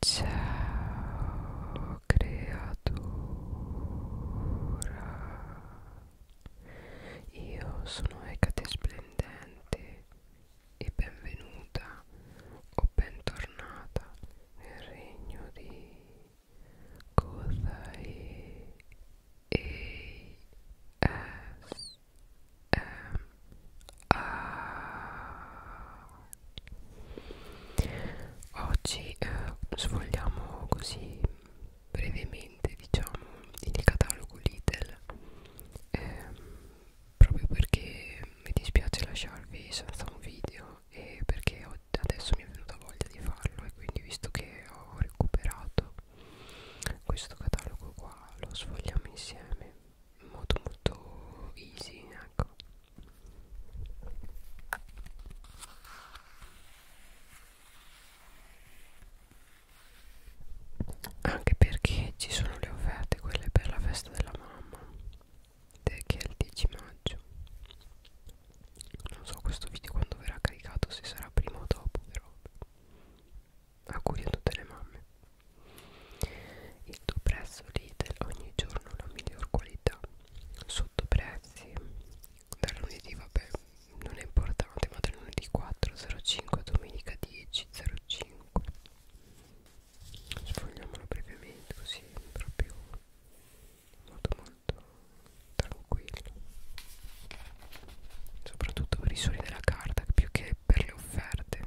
Ciao creatura, io sono Ecate Splendente e benvenuta o bentornata nel regno di Kodai ASMR Oggi eh, sfogliamo così brevemente diciamo il catalogo Lidl eh, proprio perché mi dispiace lasciarvi senza un video e perché ho, adesso mi è venuta voglia di farlo e quindi visto che ho recuperato questo catalogo qua lo sfogliamo insieme molto molto easy ecco anche perché ci sono le offerte quelle per la festa della mamma che è il 10 maggio non so questo video quando verrà caricato se sarà prima o dopo però auguri a tutte le mamme il tuo prezzo Lidl ogni giorno la miglior qualità Sottoprezzi Dal lunedì vabbè non è importante ma dal lunedì 4.05 domenica 10.05 Sfogliamolo brevemente così proprio molto molto tranquillo soprattutto per i suoni della carta più che per le offerte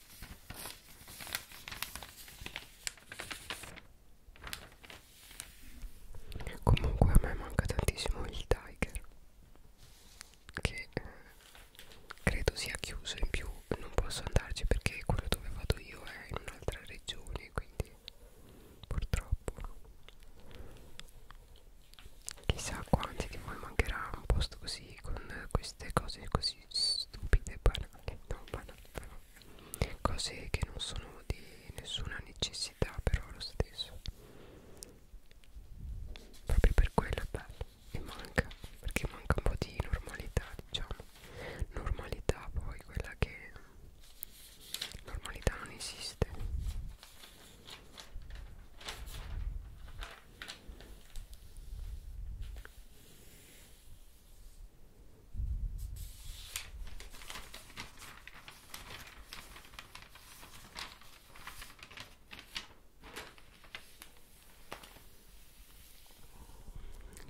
Comunque a me manca tantissimo il Tiger che eh, credo sia chiuso in più non posso andarci perché quello dove vado io è in un'altra regione quindi purtroppo chissà quanti di voi mancherà un posto così con queste cose così stupide banali non banali però cose che non sono di nessuna necessità però lo stesso proprio per quello è bello e manca perché manca un po' di normalità diciamo normalità poi quella che normalità non esiste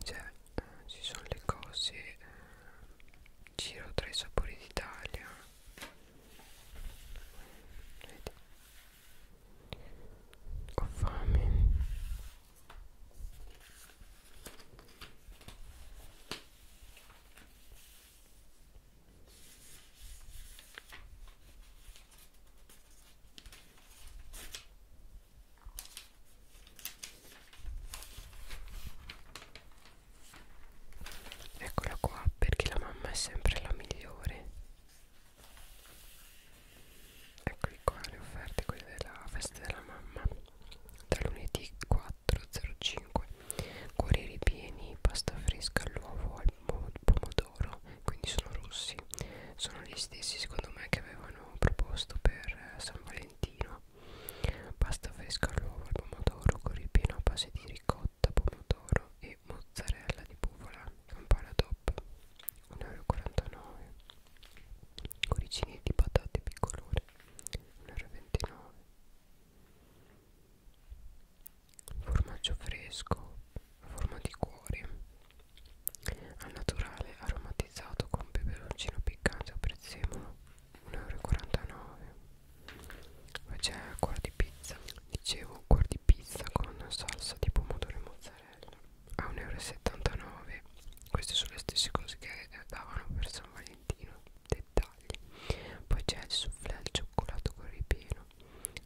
cioè, eh, ci sono le cose eh, giro tra i sapori d'Italia ho fame Eccola qua perché la mamma è sempre la migliore Eccoli qua le offerte, quelle della festa della mamma Da lunedì 4.05 Cuori ripieni, pasta fresca all'uovo, al pomodoro Quindi sono rossi Sono gli stessi secondo me che avevano proposto per eh, San Valentino Pasta fresca all'uovo, al pomodoro, cuori ripieno a base di ricotta ricotta, pomodoro e mozzarella di buvola campana DOP 1,49€ coricini di patate piccolore 1,29€ formaggio fresco a forma di cuore al naturale aromatizzato con peperoncino piccante o prezzemolo 1,49€ poi c'è ancora di pizza dicevo un di pizza con salsa di pomodoro e mozzarella a 1,79 euro queste sono le stesse cose che eh, davano per San Valentino dettagli poi c'è il soufflé al cioccolato con ripieno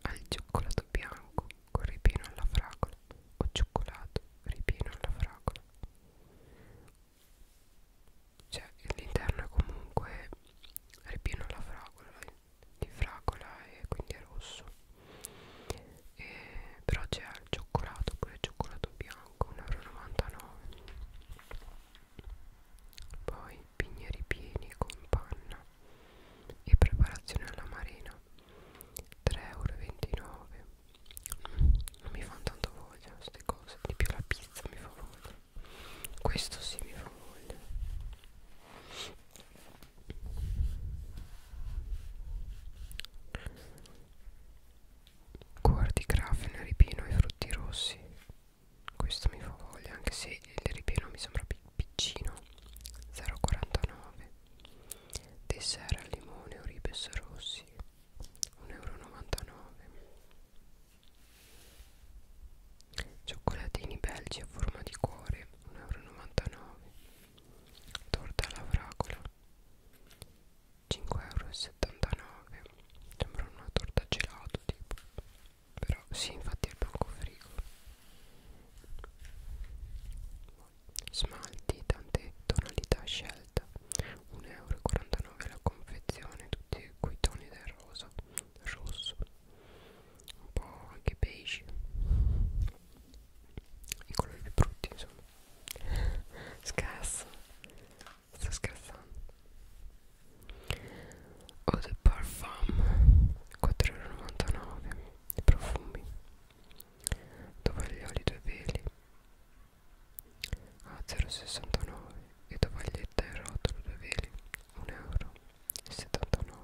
al cioccolato bianco con ripieno alla fragola o cioccolato ripieno alla fragola cioè l'interno è comunque ripieno alla fragola di fragola e quindi è rosso e, però c'è il cioccolato pure il cioccolato bianco 1,99 euro poi pigneri pieni con panna e preparazione alla marina 3,29 euro non mi fanno tanto voglia queste cose di più la pizza mi fa voglia questo sì mi fa voglia Guardi grafen, ripino e frutti rossi. Questo mi fa voglia, anche se il ripino mi sembra piccino. 0,49. Dessert al limone o ribes rossi. 1,99 euro. Cioccolatini belgi a forma di cuore 1,99 euro Torta alla fragola 5,79 euro Sembra una torta gelato tipo Però sì infatti è il bancofrigo Smalti tante tonalità scelta 1,49 euro la confezione Tutti quei toni del rosa Rosso un po' anche beige i colori più brutti insomma scherzo sto scherzando ho The Parfum 4,99€ i profumi tovaglioli due peli a 0,69 e tovaglietta e rotolo due veli 1,79 ah, euro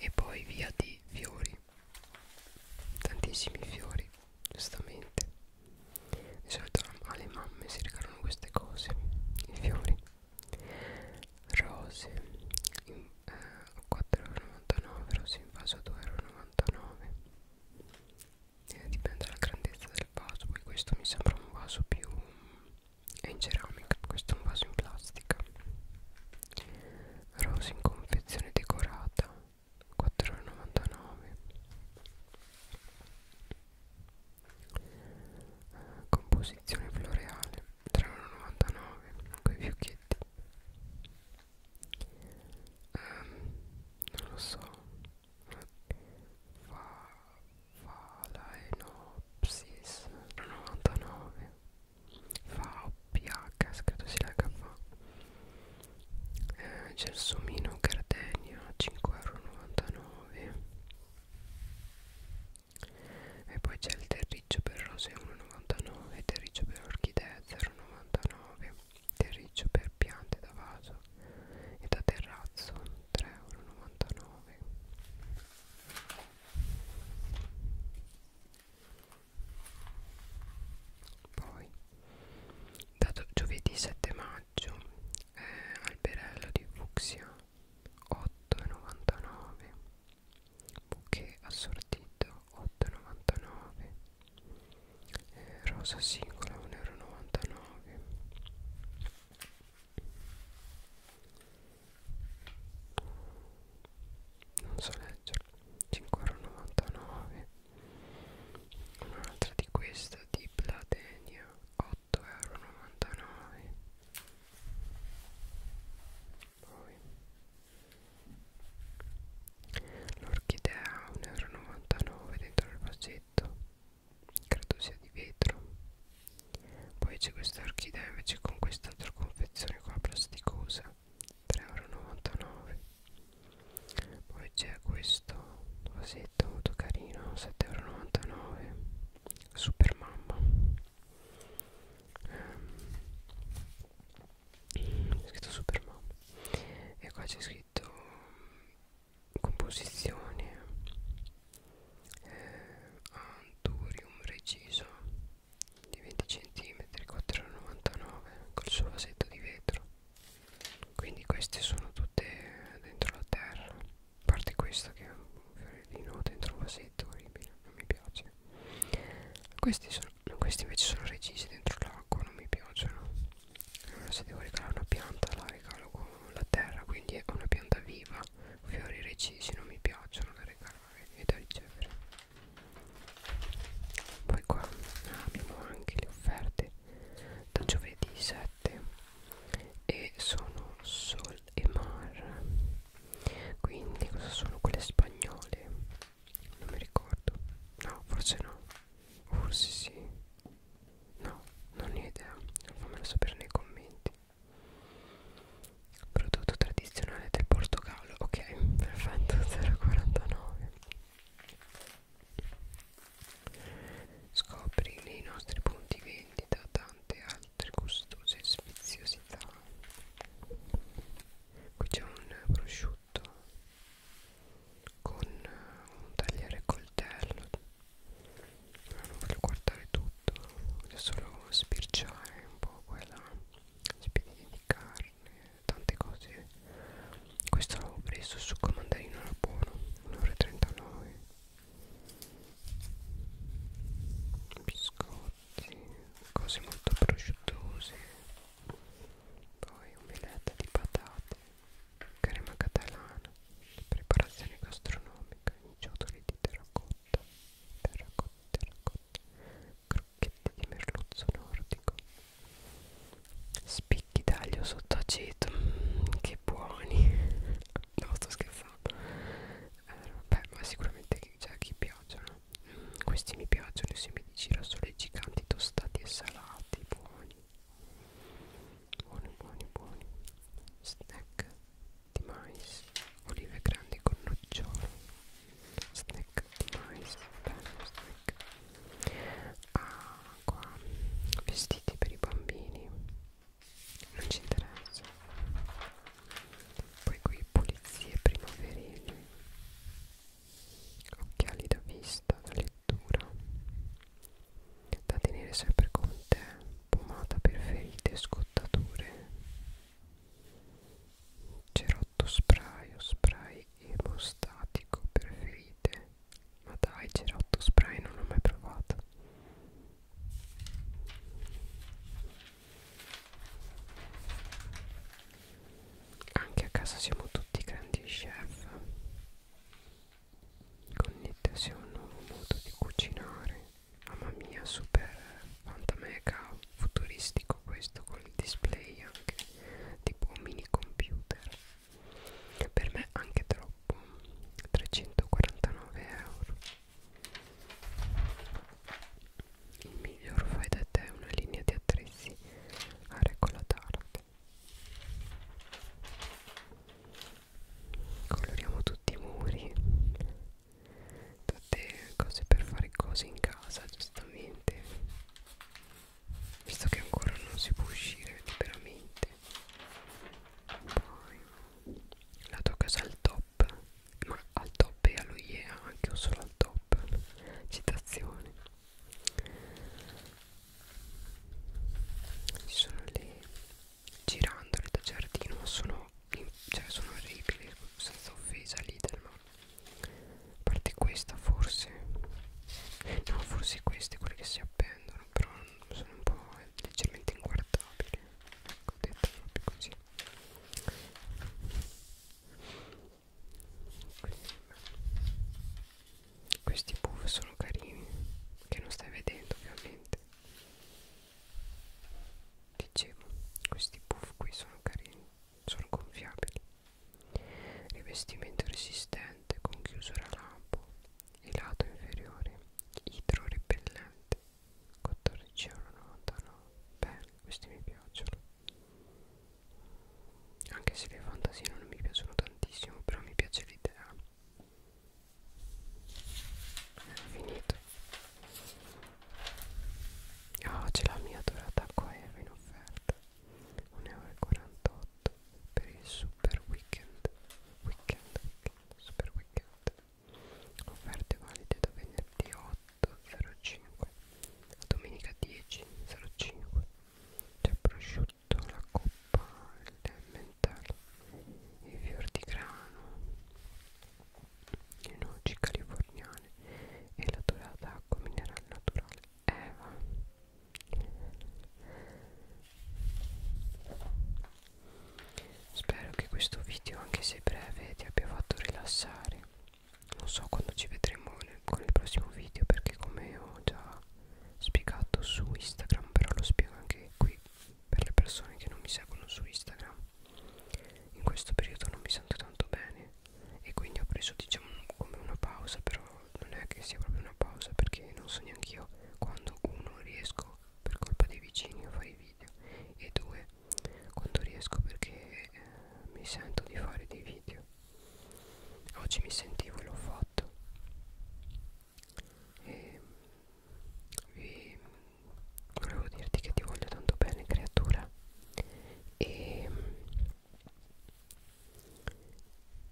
e poi via di fiori tantissimi fiori giustamente di solito alle mamme si regalano queste cose i fiori rose in, eh, 4,99 rose in vaso 2,99 eh, dipende dalla grandezza del vaso poi questo mi sembra un vaso più è in ceramica questo è un vaso in plastica rose in confezione decorata 4,99 composizione floreale 3,99 con i fiocchetti um, non lo so Valaenopsis 99 fa ph credo si legga fa eh, gelsomino gardenia 5,99 e poi c'è il terriccio per rose 1,99 e terriccio per orchidee 0,99 terriccio per piante da vaso e da terrazzo 3,99 euro poi da giovedì 7 maggio eh, alberello di fucsia 8,99 bouquet assortito 8,99 eh, rosa singola 1,99 euro non so leggerlo 5,99 un'altra di questa di Platenia 8,99 euro poi L'orchidea 1,99 euro dentro il vasetto Credo sia di vetro Poi c'è questa orchidea invece con quest'altra confezione qua plasticosa 3,99 euro Poi c'è questo vasetto molto carino 7,99 euro Super mamma ehm, c'è scritto Superman e qua c'è scritto mm, composizione eh, Anturium reciso di 20 cm 4,99 col suo vasetto di vetro quindi queste sono tutte dentro la terra a parte questa che è un fiorellino dentro un vasetto orribile non mi piace questi, sono, questi invece sono recisi dentro l'acqua non mi piacciono allora se devo regalare una pianta la regalo con la terra quindi è una pianta viva fiori recisi non mi piacciono da regalare e da ricevere poi qua abbiamo anche le offerte da giovedì 7 e sono sol e mar quindi cosa sono quelle spagnole non mi ricordo no forse no forse sì no non ne ho idea fammelo sapere nei commenti prodotto tradizionale del portogallo ok perfetto 0,49 scopri nei nostri punti vendita tante altre gustose sfiziosità qui c'è un prosciutto con eh, un tagliere coltello no, non voglio guardare tutto voglio solo spirciare un po' quella spiedini di carne tante cose questo l'ho preso succo mandarino era buono 1,39 biscotti cose molto prosciuttose poi omelette di patate, crema catalana, preparazione gastronomica, ciotoli di terracotta, terracotta, terracotta, crocchetti di merluzzo nordico, spicchi d'aglio sott'aceto, mm, che buoni, no sto scherzando, eh, vabbè ma sicuramente c'è cioè, chi piacciono questi mi piacciono i semi di girasole giganti tostati e salati, buoni. Buoni, buoni, buoni. Snack di mais, olive grandi con nocciolo. Snack di mais, bello snack. Acqua, ah, vestiti per i bambini. Non ci interessa. Poi qui pulizie primaverili occhiali da vista, da lettura da tenere sempre con te pomata per ferite e scottature cerotto spray o spray emostatico per ferite ma dai cerotto spray non l'ho mai provato anche a casa siamo tutti grandi chef connettesi a un nuovo modo di cucinare mamma mia super fantamega futuristico questo con il display anche tipo mini computer per me anche troppo 349 euro il miglior fai da te è una linea di attrezzi a regola d'arte. Coloriamo tutti i muri, tutte cose per fare cose in casa, giustamente. Visto che ancora non si può uscire liberamente. Poi la tua casa al top, ma al top e allo IEA, anche o solo al top. Citazione ci sono le girandole da giardino sono, cioè sono orribili senza offesa l'idel ma a parte questa forse no forse queste quelle che si appendono però sono un po' leggermente inguardabili ecco detto proprio così questi puff sono carini che non stai vedendo ovviamente dicevo questi puff qui sono carini sono gonfiabili rivestimento resistente con chiusura lampo e lato inferiore idrorepellente 14,99 euro belli questi mi piacciono anche se le fantasie non mi piacciono tantissimo però mi piace l'idea finito oh c'è la mia dorata qua Eva in offerta 1,48€ per il super weekend weekend weekend super weekend offerte valide da venerdì 8 05 domenica 10 05 c'è prosciutto la coppa il mentale i fior di grano le noci californiane e la dorata acqua minerale naturale Eva spero che questo video anche se breve ti abbia fatto rilassare non so quando ci vedremo nel, con il prossimo video perché come ho già spiegato su Instagram però lo spiego anche qui per le persone che non mi seguono su Instagram in questo periodo non mi sento tanto bene e quindi ho preso diciamo come una pausa però non è che sia proprio una pausa perché non so neanche io quando uno riesco per colpa dei vicini a fare i video e due quando riesco perché eh, mi sento di fare dei video oggi mi sentivo e l'ho fatto e vi volevo dirti che ti voglio tanto bene creatura e,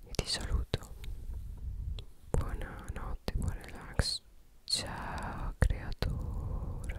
e ti saluto buonanotte buon relax ciao creatura